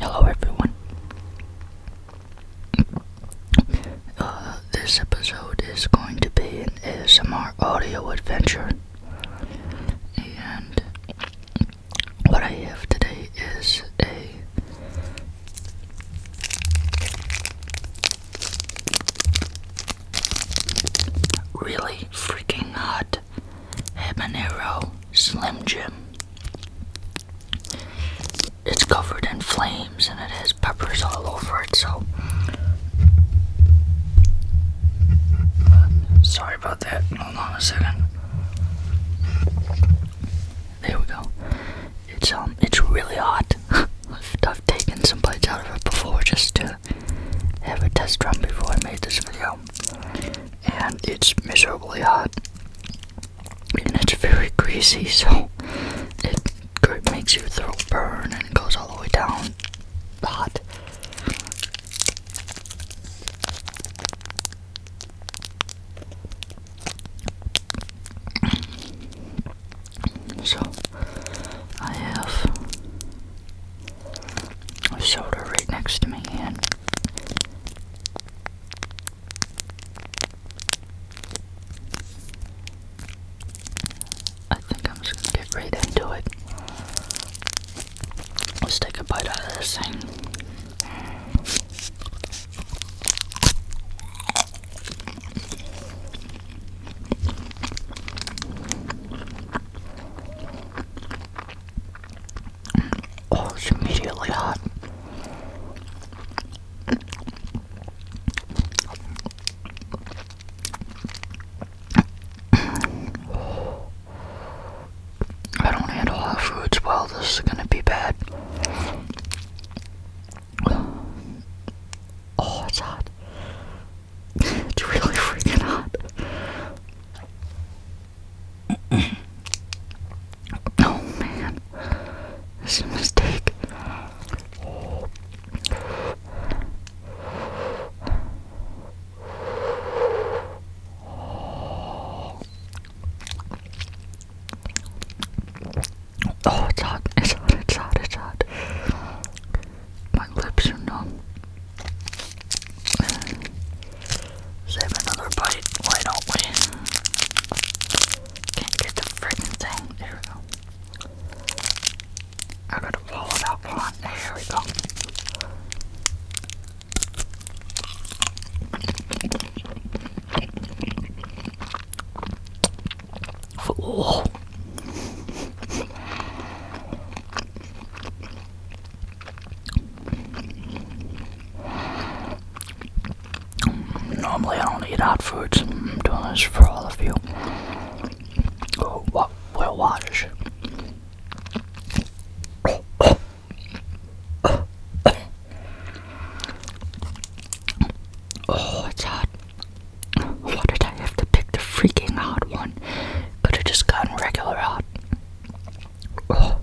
Hello, everyone. Uh, this episode is going to be an ASMR audio adventure, and what I have today is a really freaking hot Habanero Slim Jim. It's covered in flames and it has peppers all over it, so. Sorry about that. Hold on a second. There we go. It's um, it's really hot. I've, I've taken some bites out of it before just to have a test run before I made this video and it's miserably hot, and it's very greasy, so it makes your throat burn and it goes all the way down hot. So I have soda right next to me and I think I'm just gonna get right into it. Let's take a bite out of this thing. Oh, it's immediately hot. I don't handle hot foods well, this is gonna be bad. Oh, it's hot it's really freaking hot. oh man, this mistake. Oh, it's it's hot, it's hot, it's hot my lips are numb. Uh, Save another bite, why not we? Can't get the freaking thing. There we go. I gotta follow it up on. There we go. Oh. Normally, I don't eat hot foods. I'm doing this for all of you. Oh, what? watch. Oh, it's hot. Why did I have to pick the freaking hot one? But have just gotten regular hot. Oh.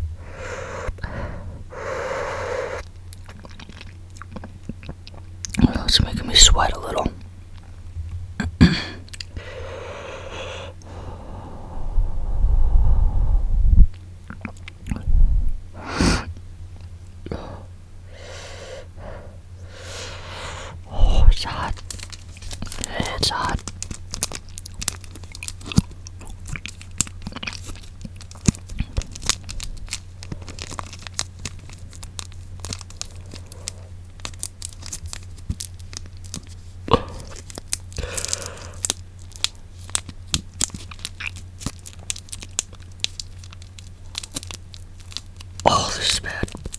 it's making me sweat a little. Oh, it's hot. It's hot. Oh, this bad.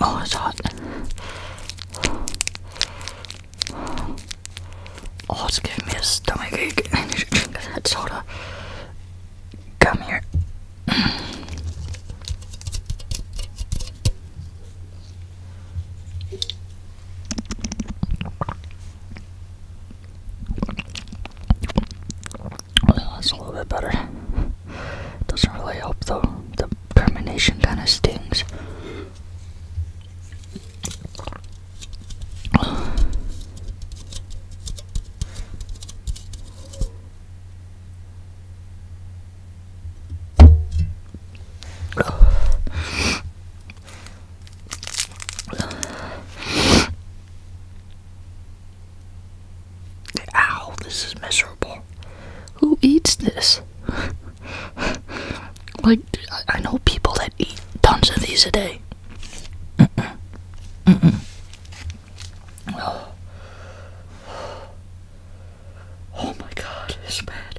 Oh, it's hot. Oh, it's giving me a stomach ache. I need to drink that Come here that's a little bit better. Doesn't really help though. The termination kind of stings. Ow, this is miserable. Who eats this? like, I know people that eat tons of these a day. oh. my god, it's bad.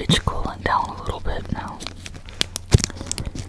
It's cooling down a little bit now.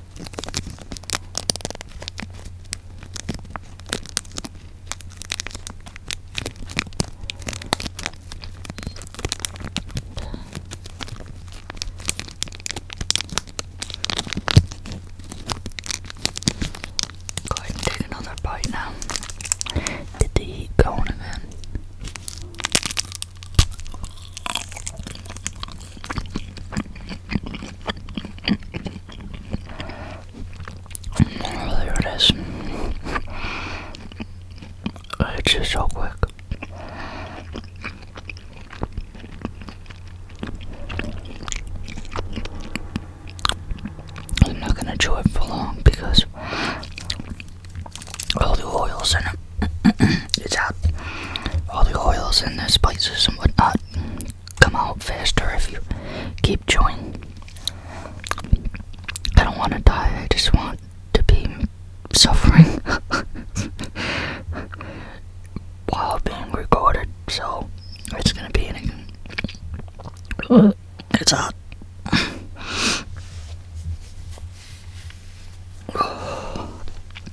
Go ahead take another bite now. Did the heat go on again? Oh, there it is. It's just so quick. I'm not gonna chew it for long because all the oil's in it. it's out. All the oils and the spices and whatnot come out faster if you keep chewing. I don't want to die, I just want to be suffering while being recorded, so it's gonna be an. It's hot.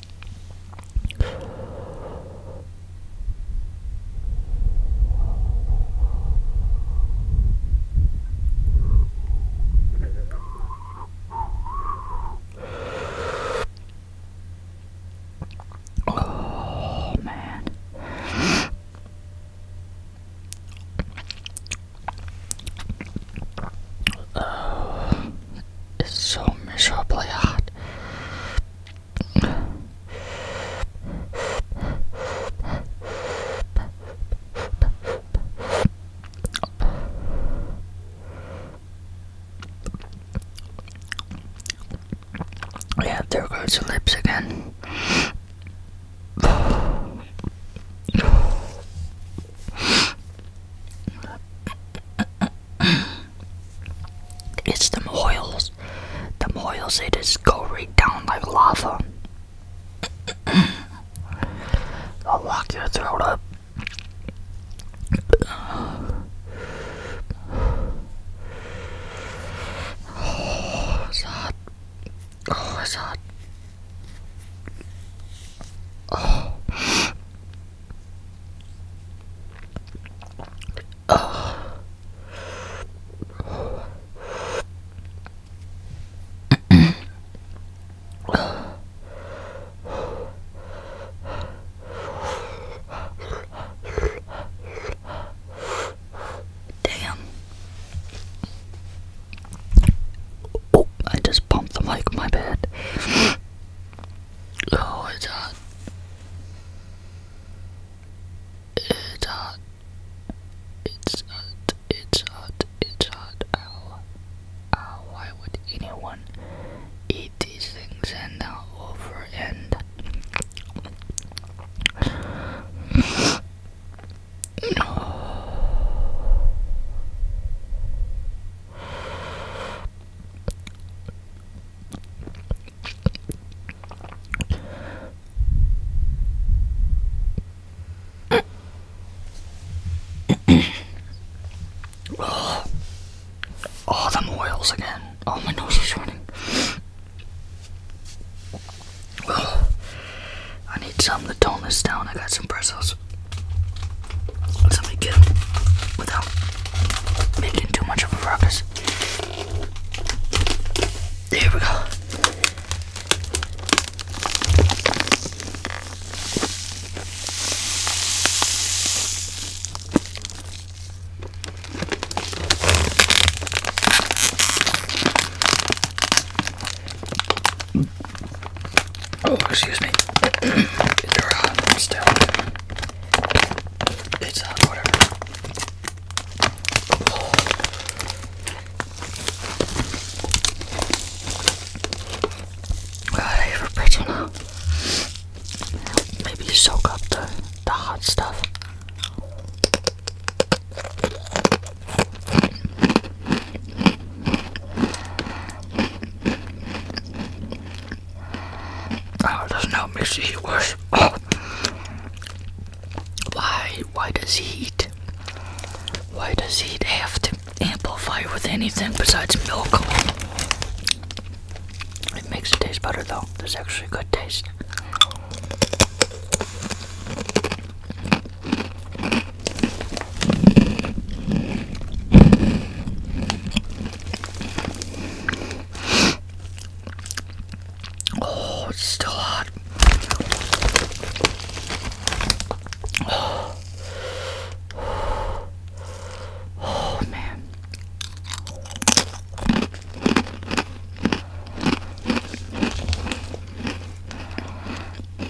Oh man. Oh, it's so miserably hot. Yeah, there goes the lips again. it's the oils. The oils, they just go right down like lava. I'll lock your throat up. Oh, it's hot. Oh, it's hot. Oh. Oh. Damn. Oh, I just bumped the mic, my bad. Oh, it's hot. It's hot. It's hot. It's hot. It's hot. Ow. Ow. Why would anyone eat these things and now over and. No oh, oh, them oils again. Oh, my nose is running. Oh, I need some to tone this down. I got some pretzels. Let's something good without making too much of a ruckus. There we go oh, excuse me, they hot still. It's hot, uh, whatever. God, I have a pretzel now. Maybe soak up the, the hot stuff. Oh, doesn't help makes the worse. Oh. Why why does heat? Why does heat have to amplify with anything besides milk? It makes it taste better though. There's actually good taste. Oh, it's still hot. Oh, oh man.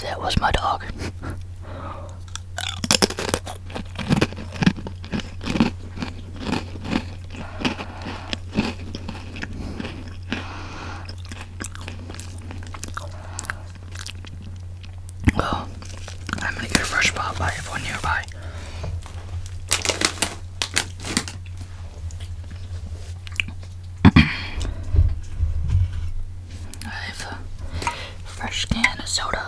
That was my dog. Oh, I'm gonna get a fresh pop. I have one nearby. I have a fresh can of soda.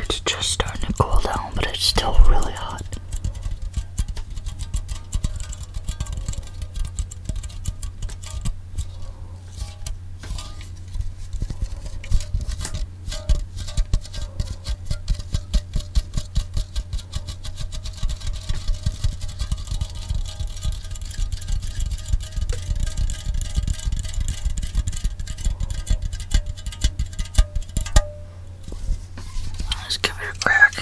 It's just starting to cool down, but it's still really hot. Let's give it a crack.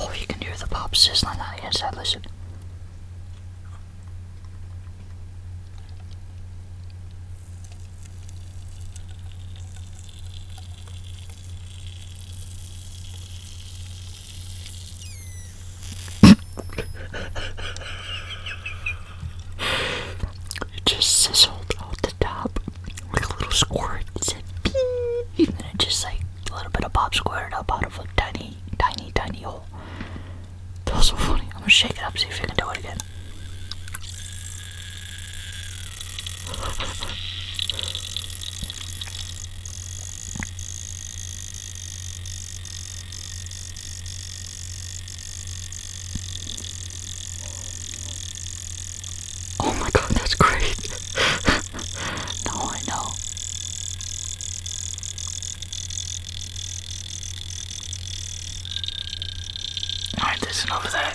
Oh, you can hear the pop sizzling on the inside. Listen it just sizzled out the top like a little squirt. It said pee, and it just like a little bit of pop squirted up out of a tiny, tiny, tiny hole. That was so funny. I'm gonna shake it up, see if I can do it again. Oh my god, that's great! no, I know. Alright, that's enough of that.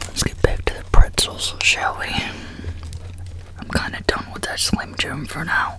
Let's get back to the pretzels, shall we? I'm kind of done with that Slim Jim for now.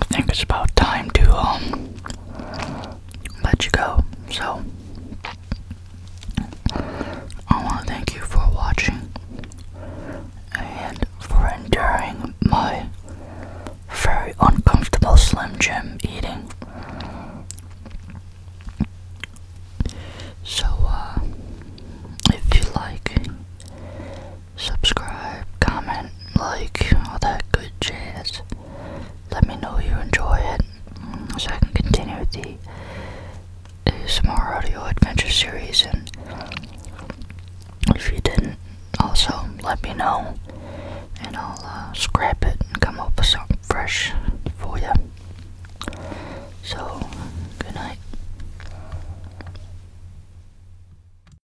I think it's about time to um, let you go. So I want to thank you for watching and for enduring my very uncomfortable Slim Jim eating. So, uh, if you like subscribe, comment, like, all that good jazz. Let me know you enjoy it so I can continue with the ASMR audio adventure series. And if you didn't, also let me know and I'll uh, scrap it and come up with something fresh for you. So, good night.